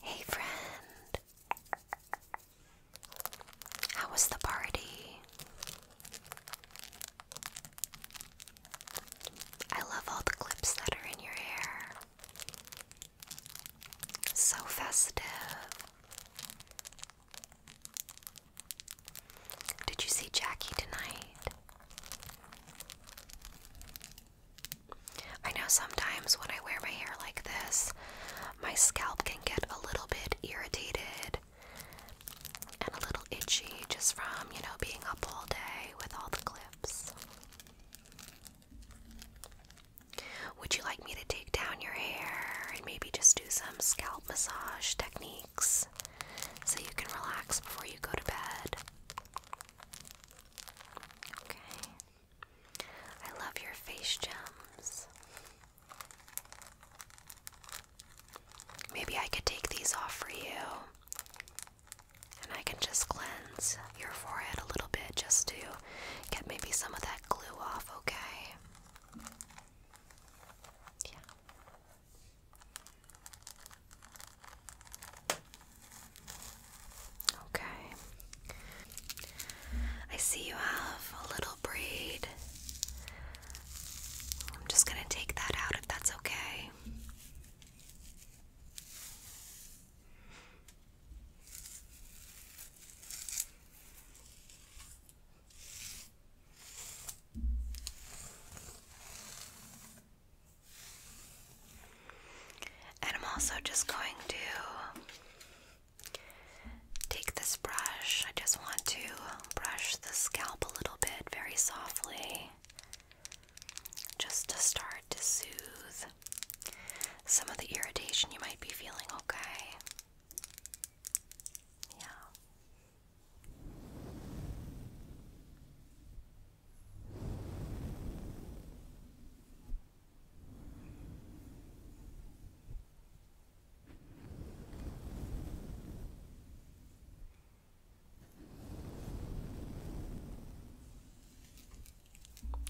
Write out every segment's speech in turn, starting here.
Hey, friend. How was the party? I love all the clips that are in your hair. So festive. Did you see Jackie tonight? I know sometimes when I wear my hair like this, my scalp can get a little bit irritated and a little itchy just from, you know, being up all day with all the clips. Would you like me to take down your hair and maybe just do some scalp massage techniques so you can relax before you go to bed? Okay. I love your face gems. Maybe I could take these off for you. And I can just cleanse your forehead a little bit just to get maybe some of that glue off, okay? Yeah. Okay. I see you have a little braid. I'm just going to take that out if that's okay. And I'm also just going to take this brush. I just want to brush the scalp a little bit very softly just to start to soothe some of the irritation you might be feeling, okay? Yeah. Okay.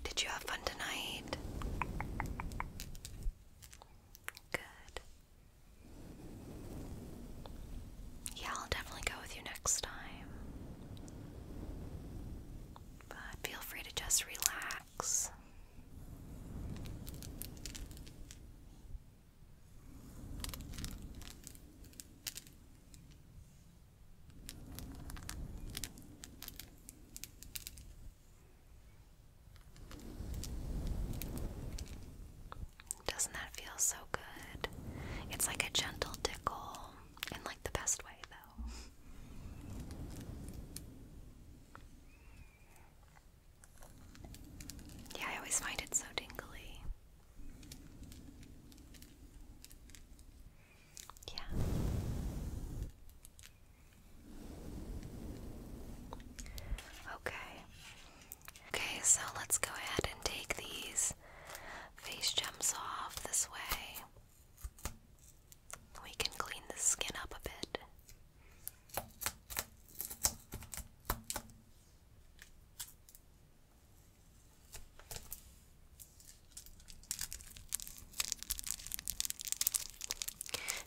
Did you have fun tonight? Good. Yeah, I'll definitely go with you next time. But feel free to just relax. Doesn't that feel so good? It's like a gentle tickle in like the best way though. Yeah, I always find it so tingly. Yeah. Okay. Okay, so let's go ahead and take these face gems off this way we can clean the skin up a bit.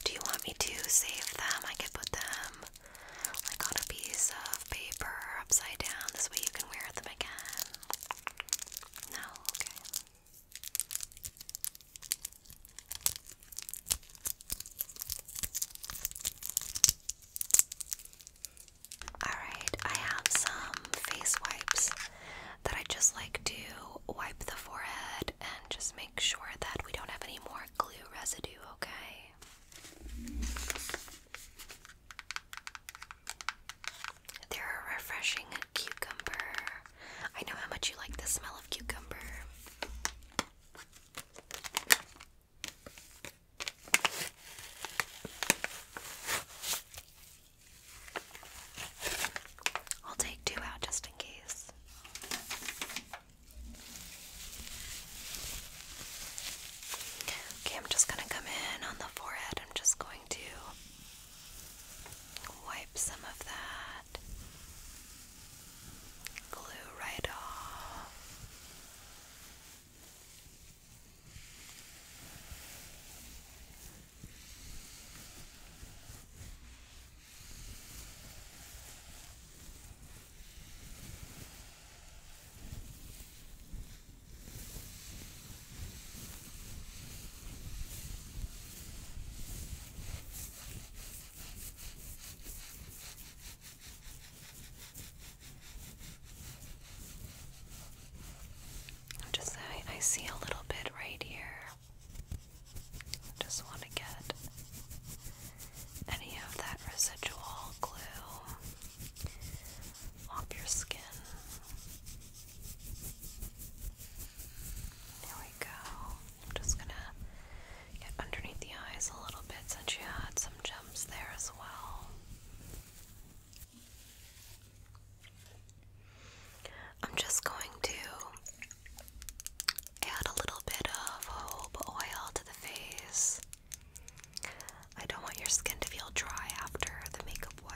Do you want me to save them? I could put them like on a piece of paper upside down. This way you can wear them again. No? Okay. Alright, I have some face wipes that I just like to wipe the forehead and just make sure that we don't have any more glue residue, okay? They're refreshing cucumber. I know how much you like the smell of cucumber. I'll take two out just in case. Okay, I'm just going to come in on the forehead. I'm just going to Wipe some of that glue right off i just I see a little bit right here. I just want to get any of that residual glue off your skin. There we go. I'm just gonna get underneath the eyes a little bit since you had some jumps there as well. I'm just going to add a little bit of hope oil to the face. I don't want your skin to feel dry after the makeup Okay,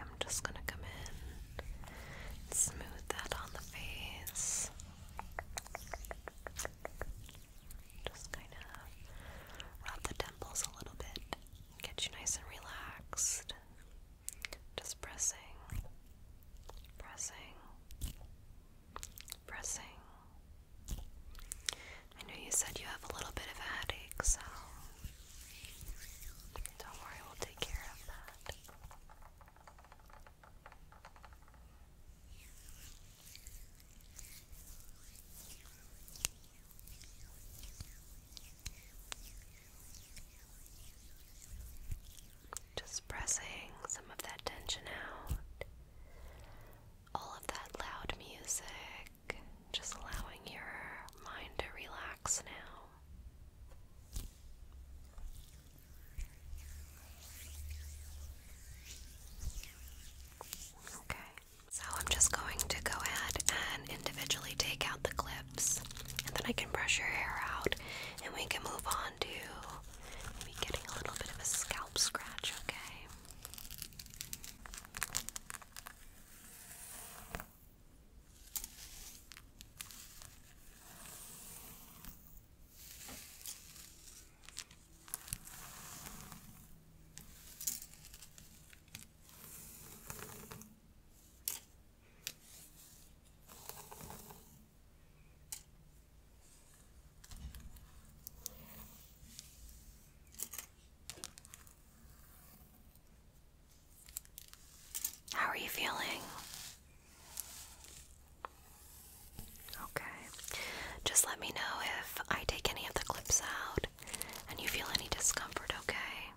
I'm just going to come in smooth that on the face. Just kind of rub the temples a little bit, get you nice and relaxed. Just pressing, pressing, pressing. I know you said you have a little bit of a headache, so don't worry, we'll take care of that. Just pressing some of that tension out. All of that loud music, just allowing your mind to relax now. Okay. So I'm just going to go ahead and individually take out the clips and then I can brush your hair out and we can move on to maybe getting a little bit of a scalp scratch, okay? How are you feeling? Okay. Just let me know if I take any of the clips out and you feel any discomfort, okay?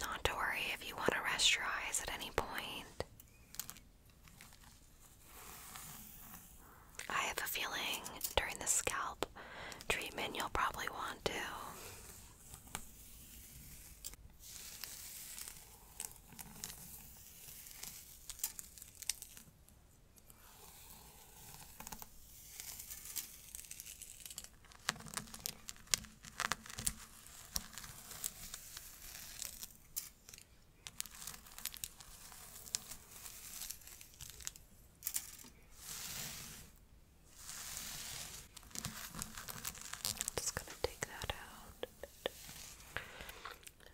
Not to worry if you want to rest your eyes at any point. I have a feeling during the scalp treatment you'll probably want to. Just going to take that out.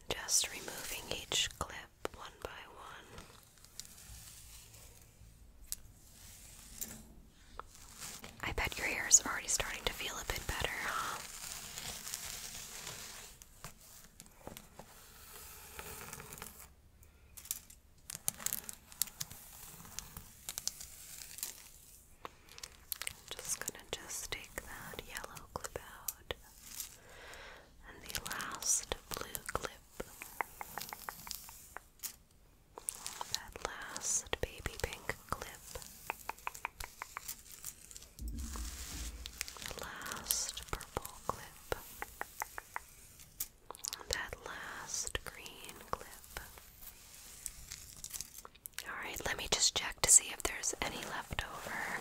Just removing each clip one by one. I bet your hair is already starting to feel a bit better, huh? I'm just gonna just take that yellow clip out and the last blue clip. That last baby pink clip last purple clip. That last green clip. Alright, let me just check to see if there's any left over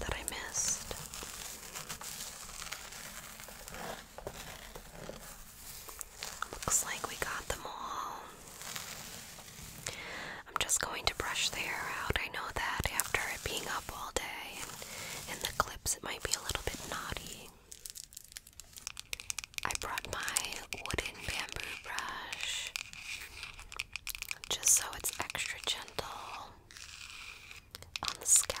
that I missed. Looks like we got them all. I'm just going to brush the hair out. I know that after it being up all day and in the clips, it might be a little bit knotty. I brought my wooden bamboo brush just so it's extra gentle on the scalp.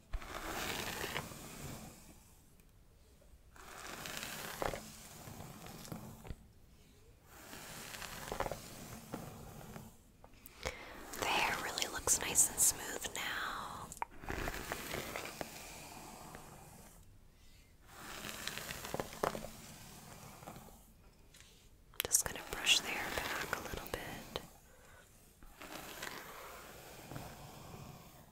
The hair really looks nice and smooth now. Just going to brush the hair back a little bit.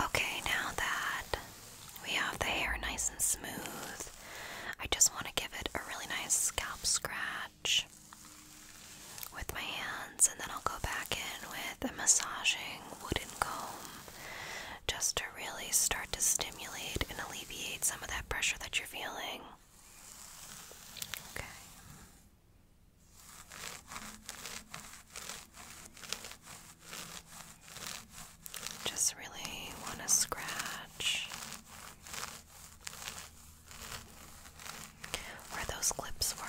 Okay, now that we have the hair nice and smooth, I just want to give it a really nice scalp scratch with my hands, and then I'll go back in with a massaging wooden comb just to really start to stimulate and alleviate some of that pressure that you're feeling. Okay. Just really want to scratch. Where those clips were.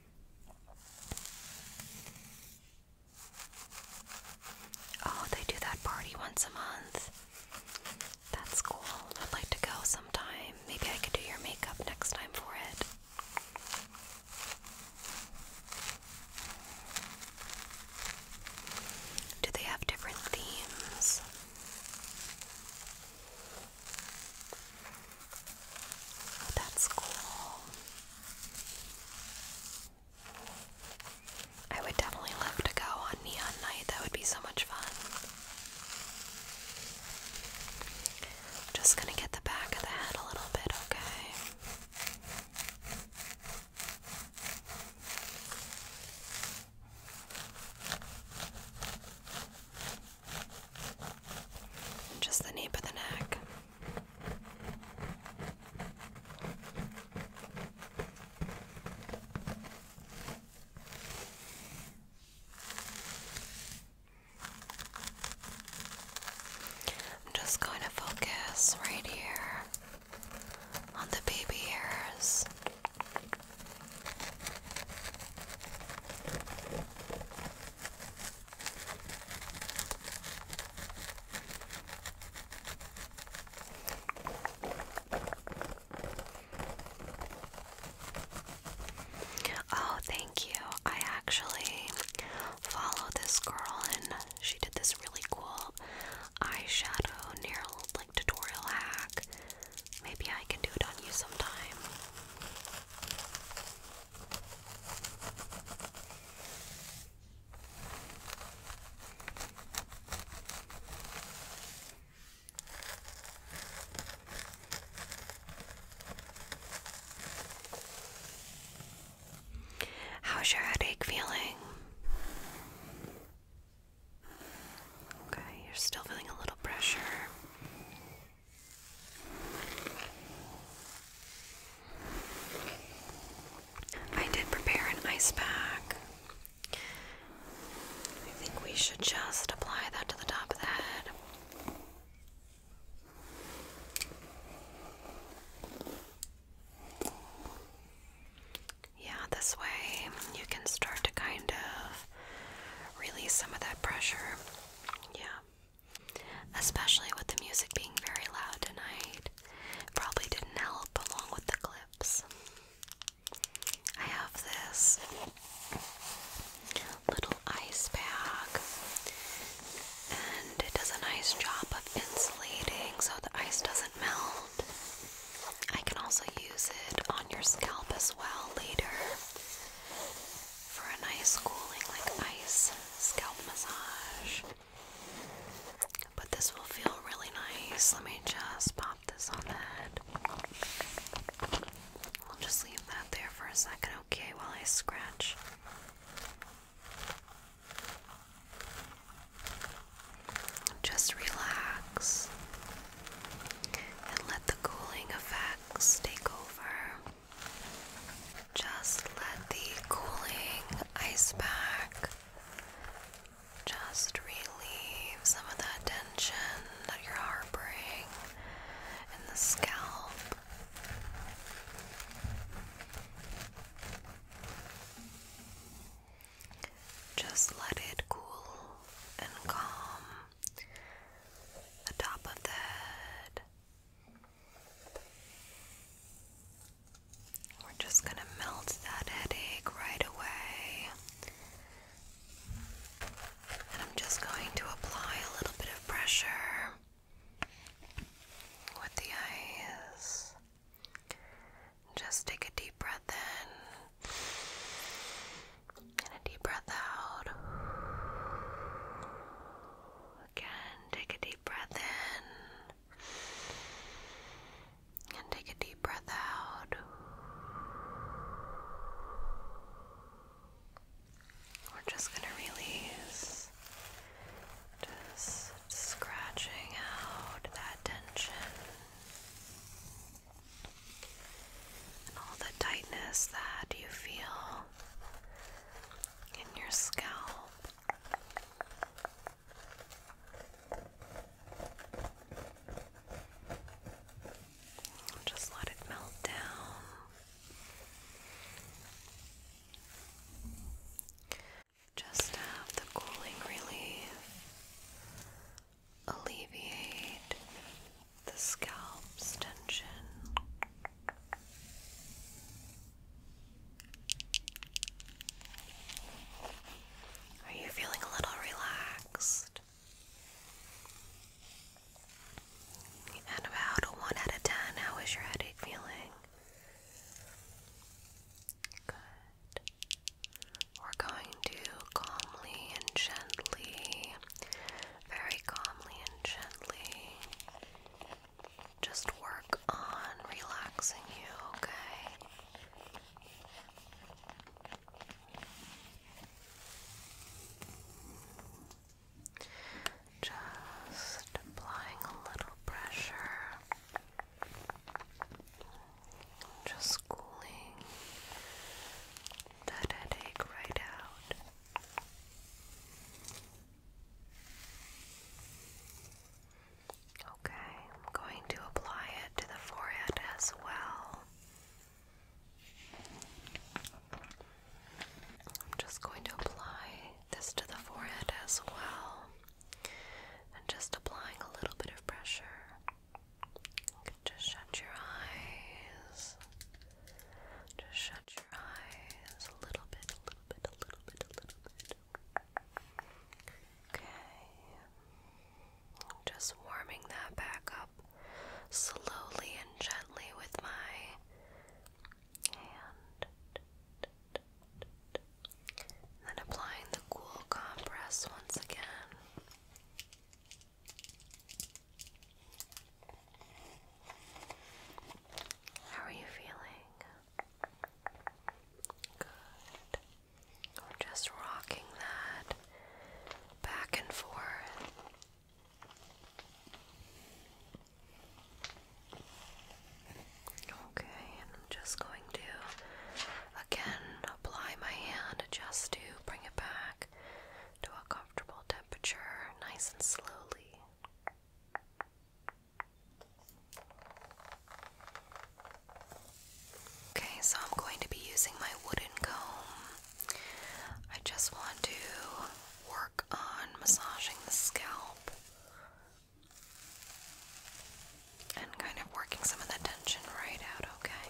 Oh, they do that party once a month. That's cool. I'd like to go sometime. Maybe I could do your makeup next time for it. Do they have different themes? Oh, that's cool. I would definitely love to go on Neon Night. That would be so much fun. just gonna get the back of the head a little bit, okay? Just the nape of the neck. I'm just going to focus right here on the baby hairs. Oh, thank you. I actually follow this girl and she did this really cool eyeshadow nail like tutorial hack. Maybe I can do it on you sometime. How's your headache feeling? Okay, you're still feeling a little pressure. I did prepare an ice pack. I think we should just apply that to the top of the head. Yeah, this way you can start to kind of release some of that pressure. Yeah especially with the music being very loud tonight. Probably didn't help along with the clips. I have this little ice bag, and it does a nice job of insulating so the ice doesn't melt. I can also use it on your scalp as well later for a nice cooling, like ice scalp massage. But this will feel really nice. Let me just pop this on the head. I'll just leave that there for a second, okay, while I scratch. Just relax and let the cooling effects take over. Just let the cooling ice pack just relieve some of that tension that you're harboring in the scalp. Just let it cool and calm the top of the head, we're just going to melt that headache right away. And I'm just going to apply a little bit of pressure with the eyes. Just take a deep breath in and a deep breath out again. Take a deep breath in and take a deep breath out. We're just going to release, just scratching out that tension and all the tightness that you feel in your scalp. Just let it melt down. Just have the cooling relief alleviate the scalp's tension. Are you feeling a little relaxed? And about one out of ten, how is your headache feeling? Good. We're going to calmly and gently, very calmly and gently just work on relaxing you, okay? Just applying a little pressure, just cooling that headache right out. Okay, I'm going to apply it to the forehead as well. I'm just going to apply this to the forehead as well. And just applying a little bit of pressure. just shut your eyes. Just shut your eyes a little bit, just warming that back up slowly and gently with my hand. And then applying the cool compress once again. How are you feeling? Good. We're just rocking that back and forth. Okay, and I'm just going to again apply my hand just to bring it back to a comfortable temperature, nice and slowly. Okay, so I'm going to be using my wooden comb. I just want to work on massaging the scalp and kind of working some of the tension right out, okay?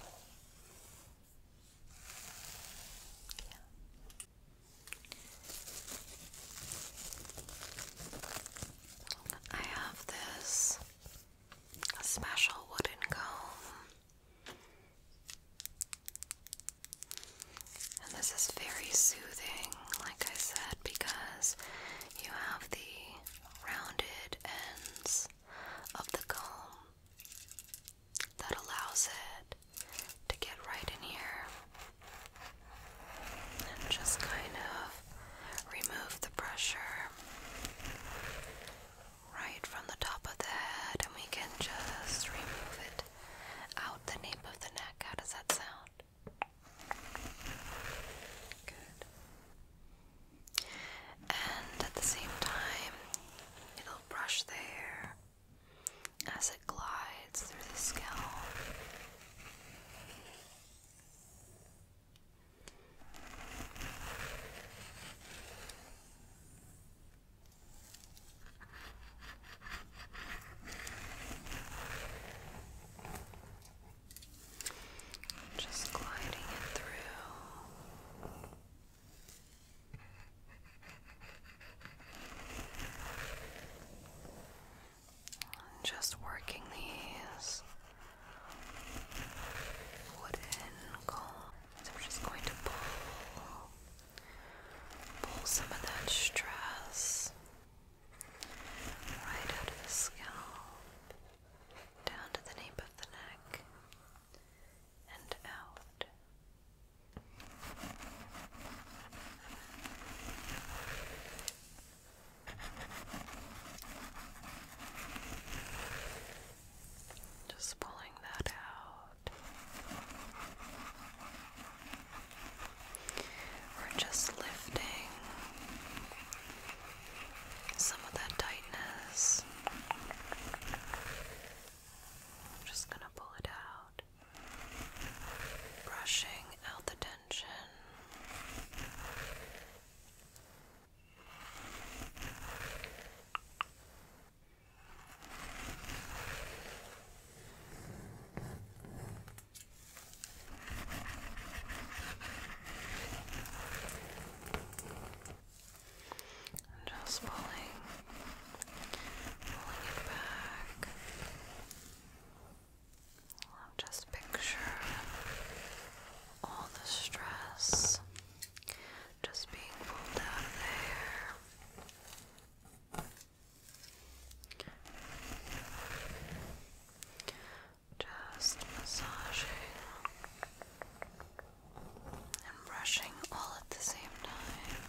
I have this special wooden comb, and this is very soothing, like I said, because you have the rounded ends of the comb that allows it to get right in here and just kind of remove the pressure right from the top of the head, and we can just remove it out the nape of the neck. How does that sound? Good. And at the same time, it'll brush there as as it glides through the scalp. Just gliding it through. Just working these wooden cones. So we're just going to pull, pull some of that stress right out of the scalp, down to the nape of the neck, and out. Just pulling that out. We're just lifting some of that tightness. just going to pull it out brushing out the tension. just pulling, pulling it back. I'm just picturing all the stress just being pulled out of there. Just massaging and brushing all at the same time.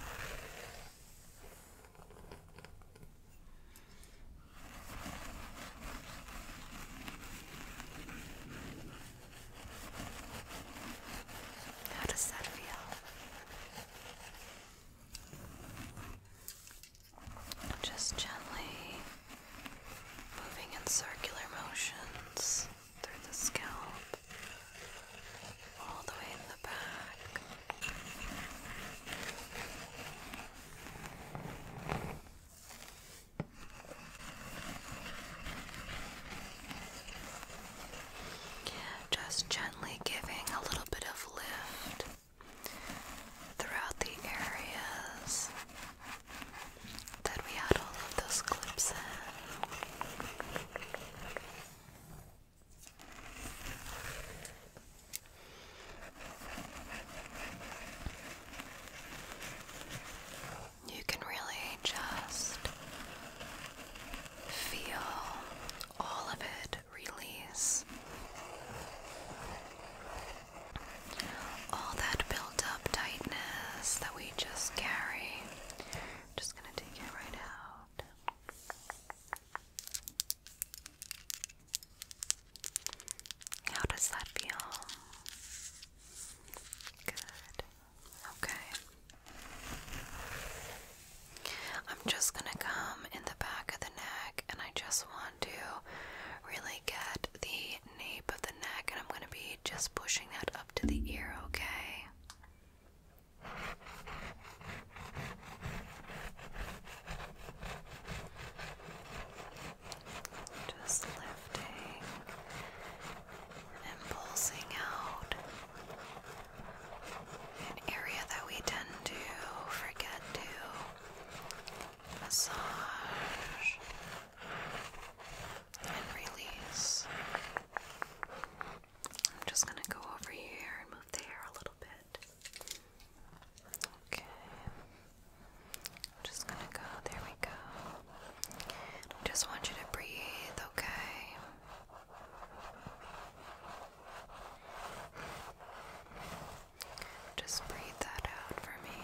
How does that feel? Just gently moving in circular motions through the scalp, all the way in the back. Just gently giving a little bit of lift throughout the areas that we had all of those clips in. You can really just feel all of it release. All that built up tightness that we just carry. just going to take it right out. How does that feel? Good. Okay. I'm just going to come in the back of the neck and I just want to really get the nape of the neck and I'm going to be just pushing that up to the ear, okay? Okay. Just lifting and pulsing out an area that we tend to forget to massage and release. I'm just going to go over here and move the hair a little bit. Okay. just gonna go. There we go. I just want you to breathe, okay? Just breathe that out for me.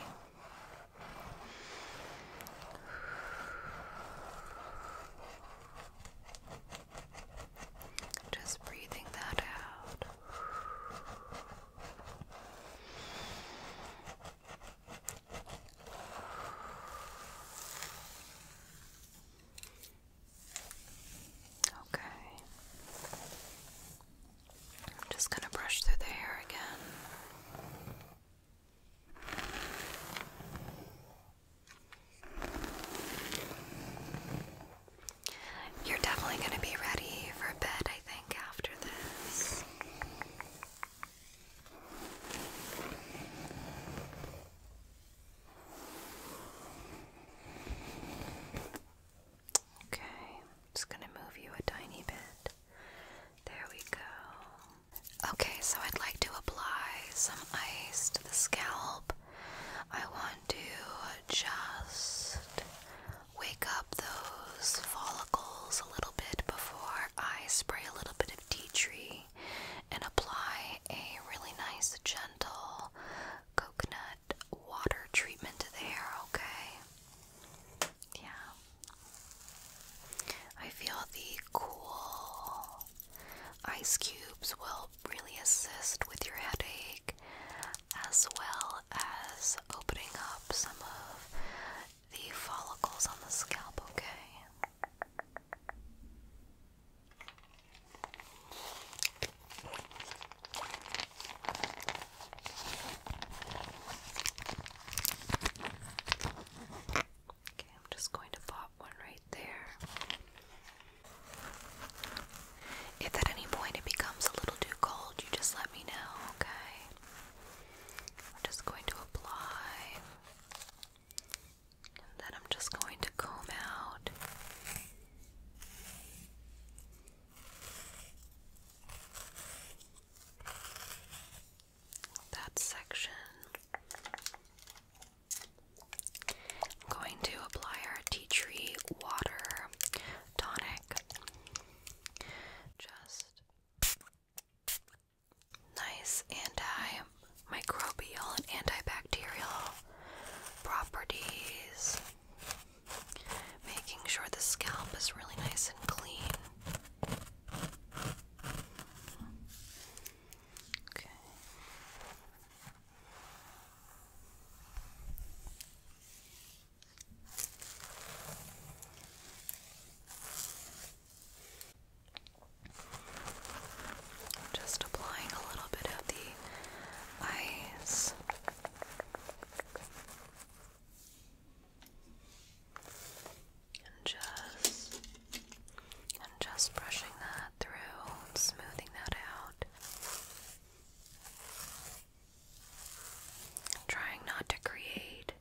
Just breathing that out. Okay. I'm just going to brush through the hair again. You're definitely going to be ready for bed, I think, after this. Okay, i going to move you a tiny bit. There we go. Okay, so I'd like to apply some ice to the scalp. I want to just wake up those follicles a little bit before I spray a little bit of tea tree and apply a really nice, gentle coconut water treatment to the hair, okay? Yeah. I feel the cool ice cubes will really assist with your headache as well as opening up some of the follicles on the scalp, okay? Okay, I'm just going to pop one right there. If at any point it becomes a little too cold, you just let me know, okay? I'm just going to apply. And then I'm just going to comb out. That section. I'm going to apply our tea tree water tonic. Just nice antimicrobial and antibacterial properties. Making sure the scalp is really nice and clean. Okay. Just applying a little bit of the eyes. And just and just brushing that through, smoothing that out. Trying not to create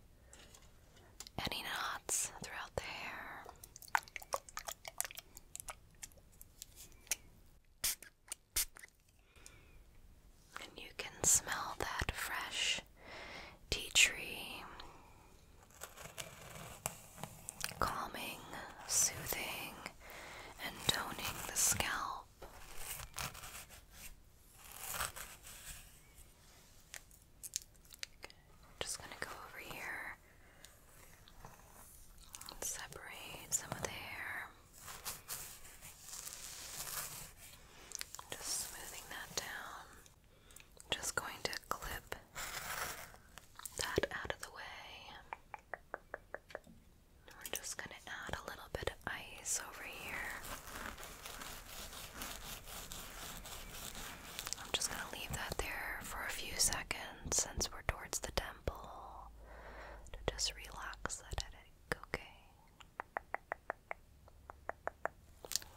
any knots throughout the hair. And you can smell that fresh tea tree. Calming, soothing, and toning the scalp just going to go over here separate some of the hair. Just smoothing that down. just going to clip that out of the way. I'm just going to add a little bit of ice over here. I'm just going to leave that there for a few seconds since we're towards the temple to just relax that headache, okay?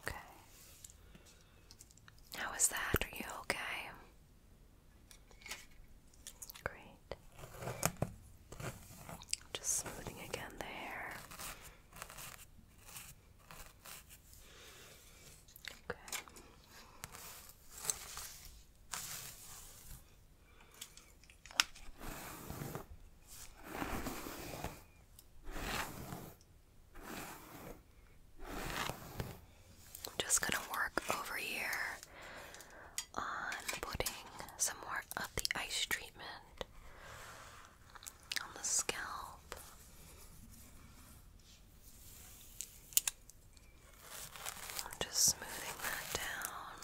Okay. How is that? Are you okay? Great. Just smoothing again the hair. Okay. just going to work over here on putting some more of the ice treatment on the scalp. just smoothing that down.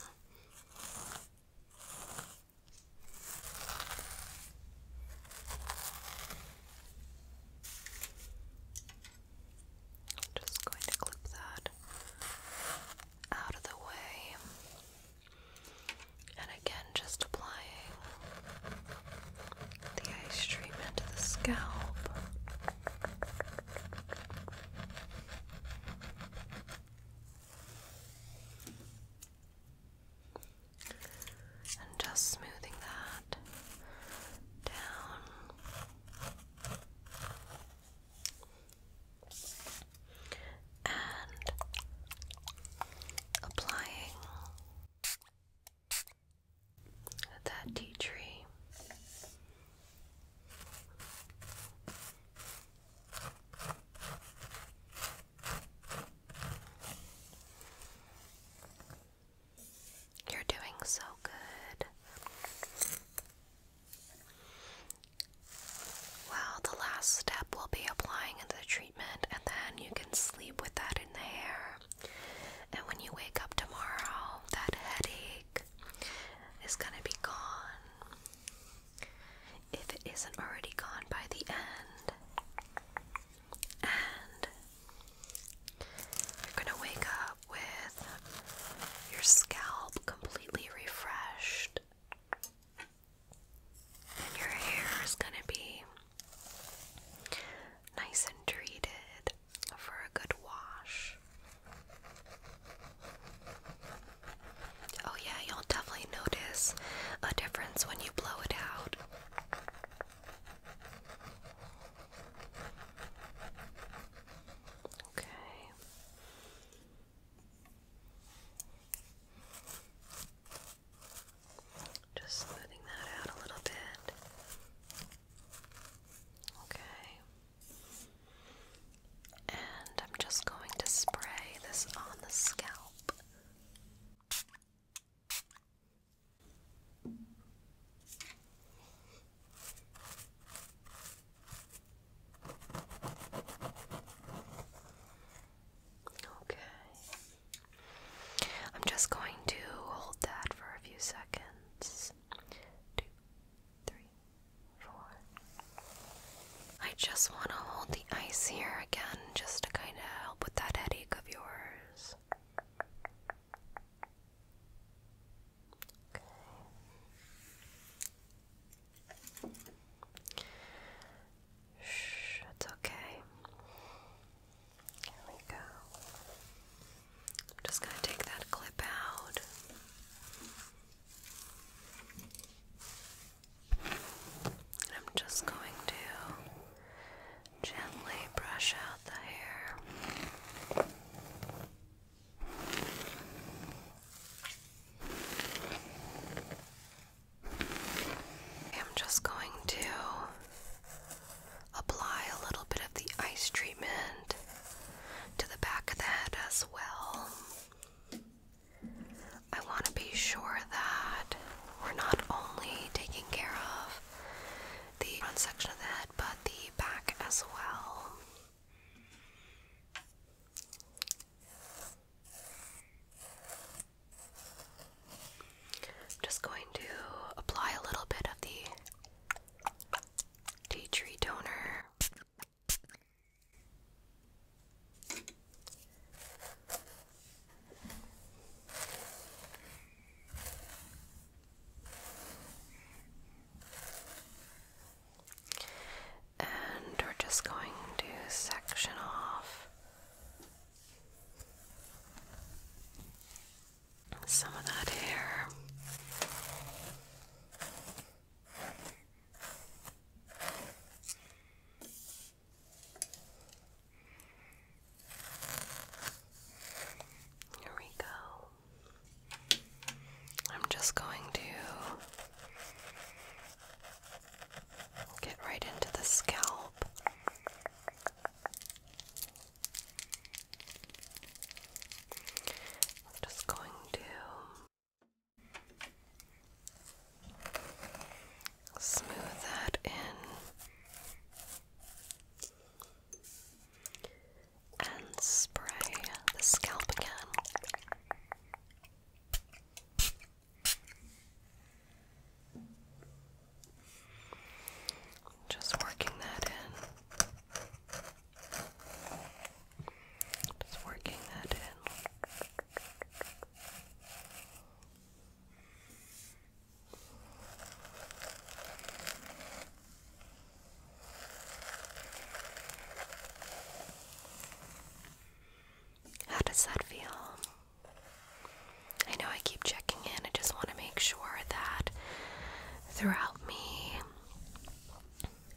just going to clip that out of the way. And again, just applying the ice treatment into the scalp. And just smoothing that down and applying that tea tree. You're doing so good. Well, the last step will be applying the treatment, and then you can sleep with that in the hair. And when you wake up tomorrow, that headache is going to be gone. If it isn't already gone by the end. And you're going to wake up with your scalp completely refreshed and your hair is going to be nice and treated for a good wash. Oh, yeah, you'll definitely notice a difference when you blow it out. Okay. Just smoothing that out a little bit. Okay. And I'm just going to spray this on the scalp. Okay. I'm just going to hold that for a few seconds. Two, three, four. I just want to hold the ice here again just to kind of help with that headache of yours. Okay. Shh, it's okay. Here we go. I'm just going to take that clip out. And I'm just going to gently brush out the hair. I'm just going to apply a little bit of the ice treatment to the back of the head as well. I want to be sure that we're not only taking care of the front section of the head, but the back as well. I'm just going to apply a little bit of the tea tree toner and we're just going to section off some of that hair. Here we go. I'm just going to Get right into the scalp. just going to smooth that in. And spray the scalp again. Just working that in. Just working that in. How does that feel? I know I keep checking in. I just want to make sure that throughout me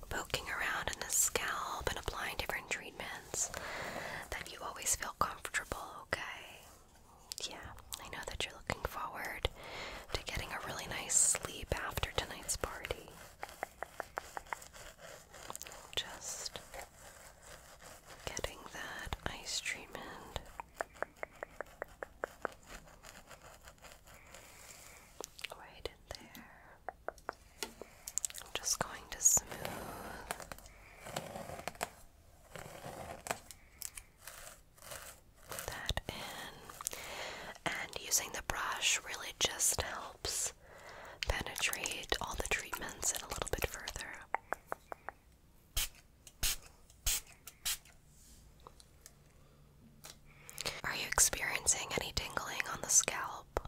poking around in the scalp and applying different treatments that you always feel comfortable, okay? Yeah, I know that you're looking forward to getting a really nice sleep after tonight's party. Just Getting that ice treatment. Right in there. I'm just going to smooth that in. And using the brush really just helps penetrate all the treatments and a little bit further. Are you experiencing any tingling on the scalp?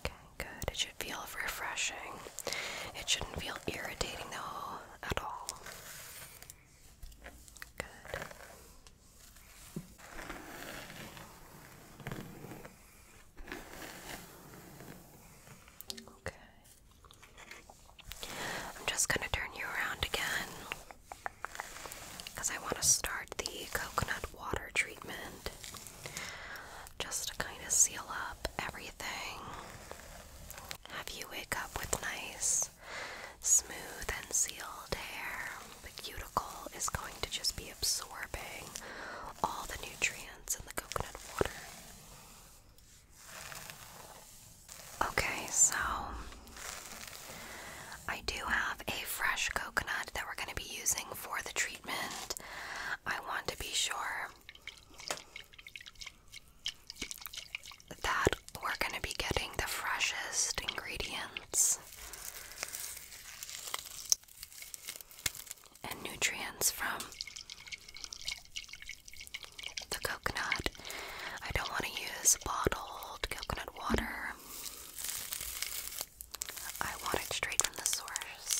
Okay, good. It should feel refreshing. It shouldn't feel irritating though at all. Good. Okay. I'm just going to turn you around again because I want to start the coconut water treatment just to kind of seal up everything. Have you wake up with nice, smooth, and sealed hair the cuticle is going to just be absorbing all the nutrients in the coconut water. Okay, so I do have a fresh coconut that we're going to be using for the treatment. I want to be sure that we're going to be getting the freshest ingredients and nutrients from the coconut. I don't want to use bottled coconut water. I want it straight from the source.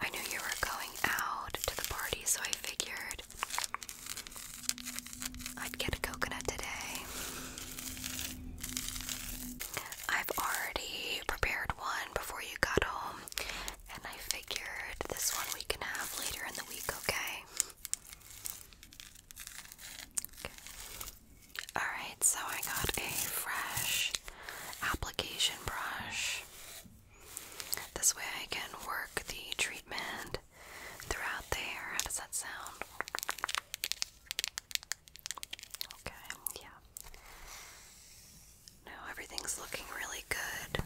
I knew you were going out to the party, so I figured I'd get a coconut today. I've already prepared one before you got home, and I figured this one we can have later in the week, okay? okay. Alright, so I got a fresh application brush. This way I can work the treatment throughout the hair. How does that sound? Okay, yeah. No, everything's looking really good.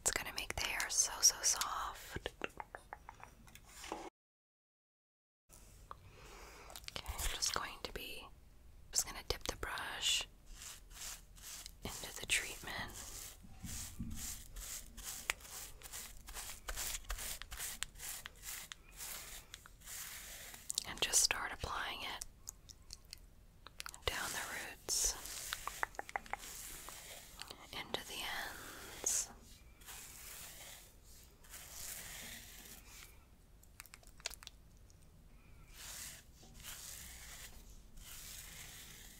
It's going to make the hair so, so soft. Okay, I'm just going to be, just going to dip the brush into the treatment. And just start applying it down the roots, into the ends.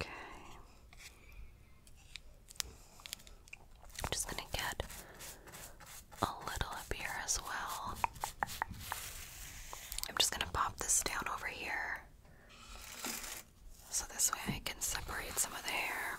Okay. I'm just going to get a little up here as well. I'm just going to pop this down over here so this way I can separate some of the hair.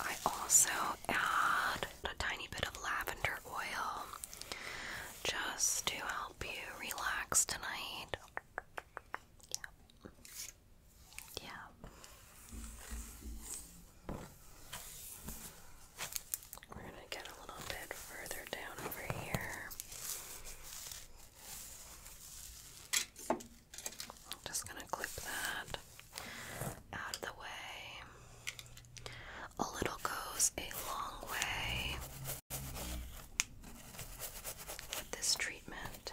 I also add a tiny bit of lavender oil just to help you relax tonight. Yeah a little bit further down over here. I'm just going to clip that out of the way. A little goes a long way with this treatment.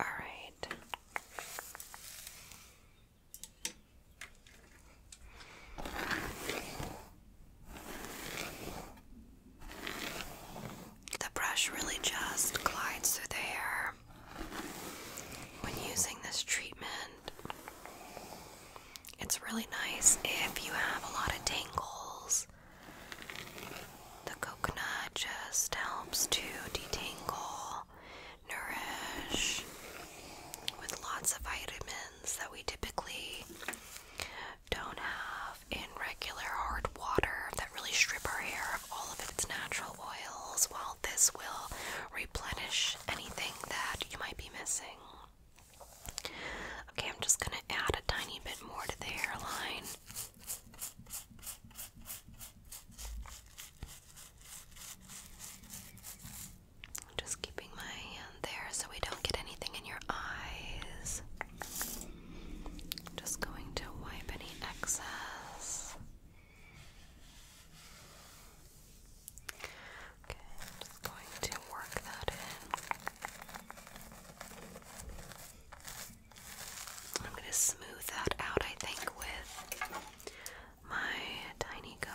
All right. The brush really just glides through the hair when using this treatment. It's really nice if you have a lot of tangles. The coconut just helps to detangle, nourish with lots of vitamins that we typically don't have in regular hard water that really strip our hair of all of its natural oils, while this will replenish anything that you might be missing. Okay, I'm just going to add a tiny bit more to the hairline. Just keeping my hand there so we don't get anything in your eyes. Just going to wipe any excess. I'm just going to work that in. I'm going to smooth that out, I think, with my tiny comb.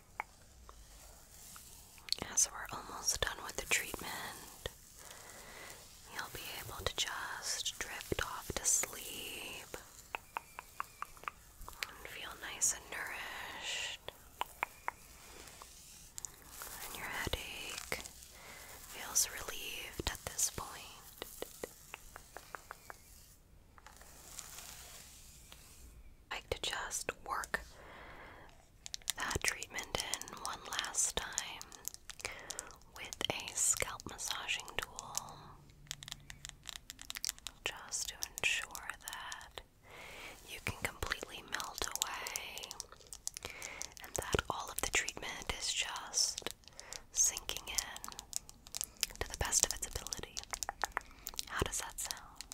As we're almost done with the treatment, you'll be able to just drift off to sleep and feel nice and nourished. And your headache feels relieved at this point. I like just work that treatment in one last time with a scalp massaging tool just to ensure that you can completely melt away and that all of the treatment is just sinking in to the best of its ability. How does that sound?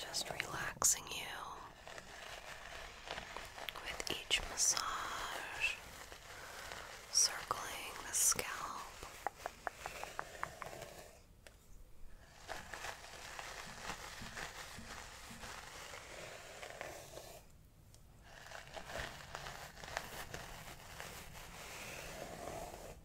Just relaxing you with each massage, circling the scalp.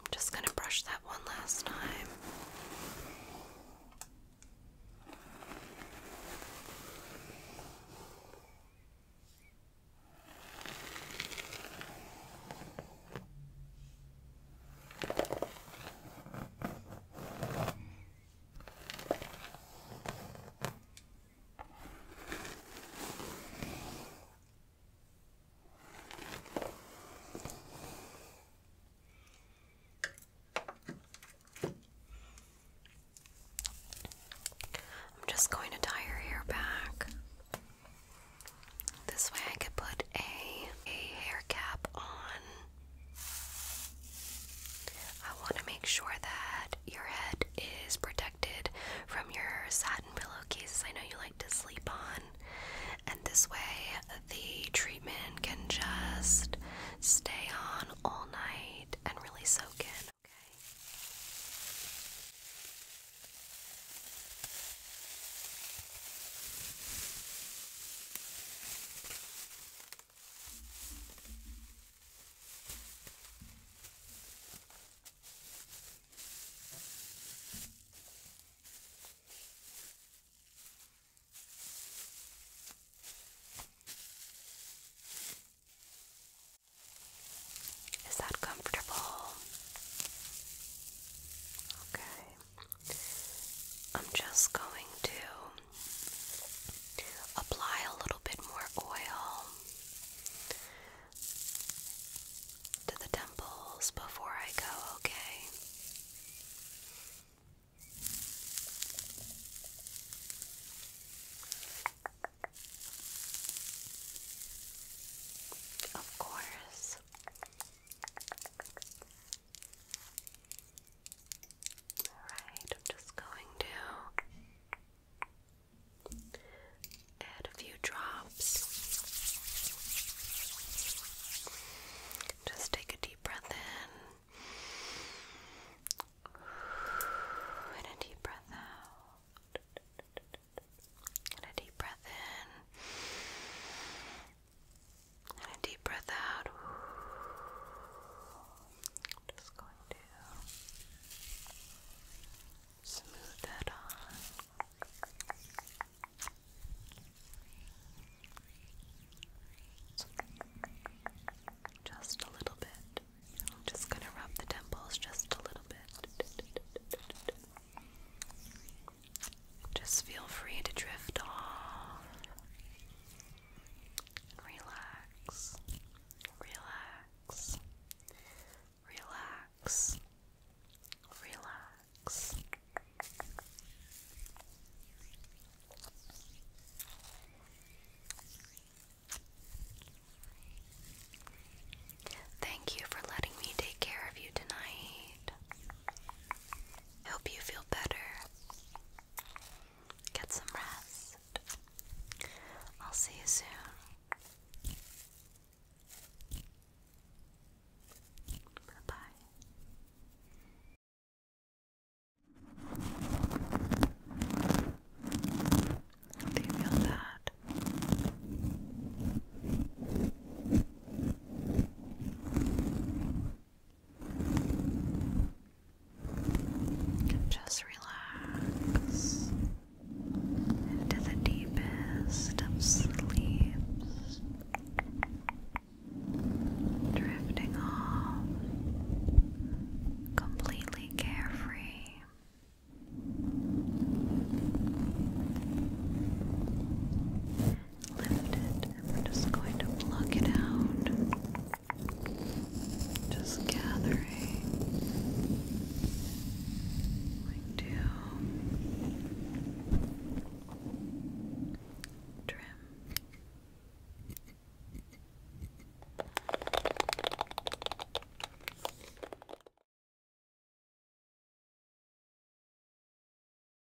I'm just going to brush that one last time. I'm just going to tie your hair back. This way I could put a, a hair cap on. I want to make sure that your head is protected from your satin pillowcases I know you like to sleep on. And this way the treatment can just stay on all night and really soak in, okay? Is that comfortable? Okay. I'm just going to apply a little bit more oil to the temples before I go, okay? Of course. Alright, I'm just going to add a few drops. Just take a deep breath in and a deep breath out. And a deep breath in and a deep breath out. I'm just going to smooth that on. Just a little bit. I'm just going to rub the temples just a little bit. Just feel free to drift off. Relax. Relax. Relax. Relax. Thank you for letting me take care of you tonight. Help you feel better. Get some rest. I'll see you soon. Bye bye. Do you feel that? Just relax into the deepest of sleeps, drifting off completely carefree lift it and we're just going to pluck it out. Just gathering. Like to trim.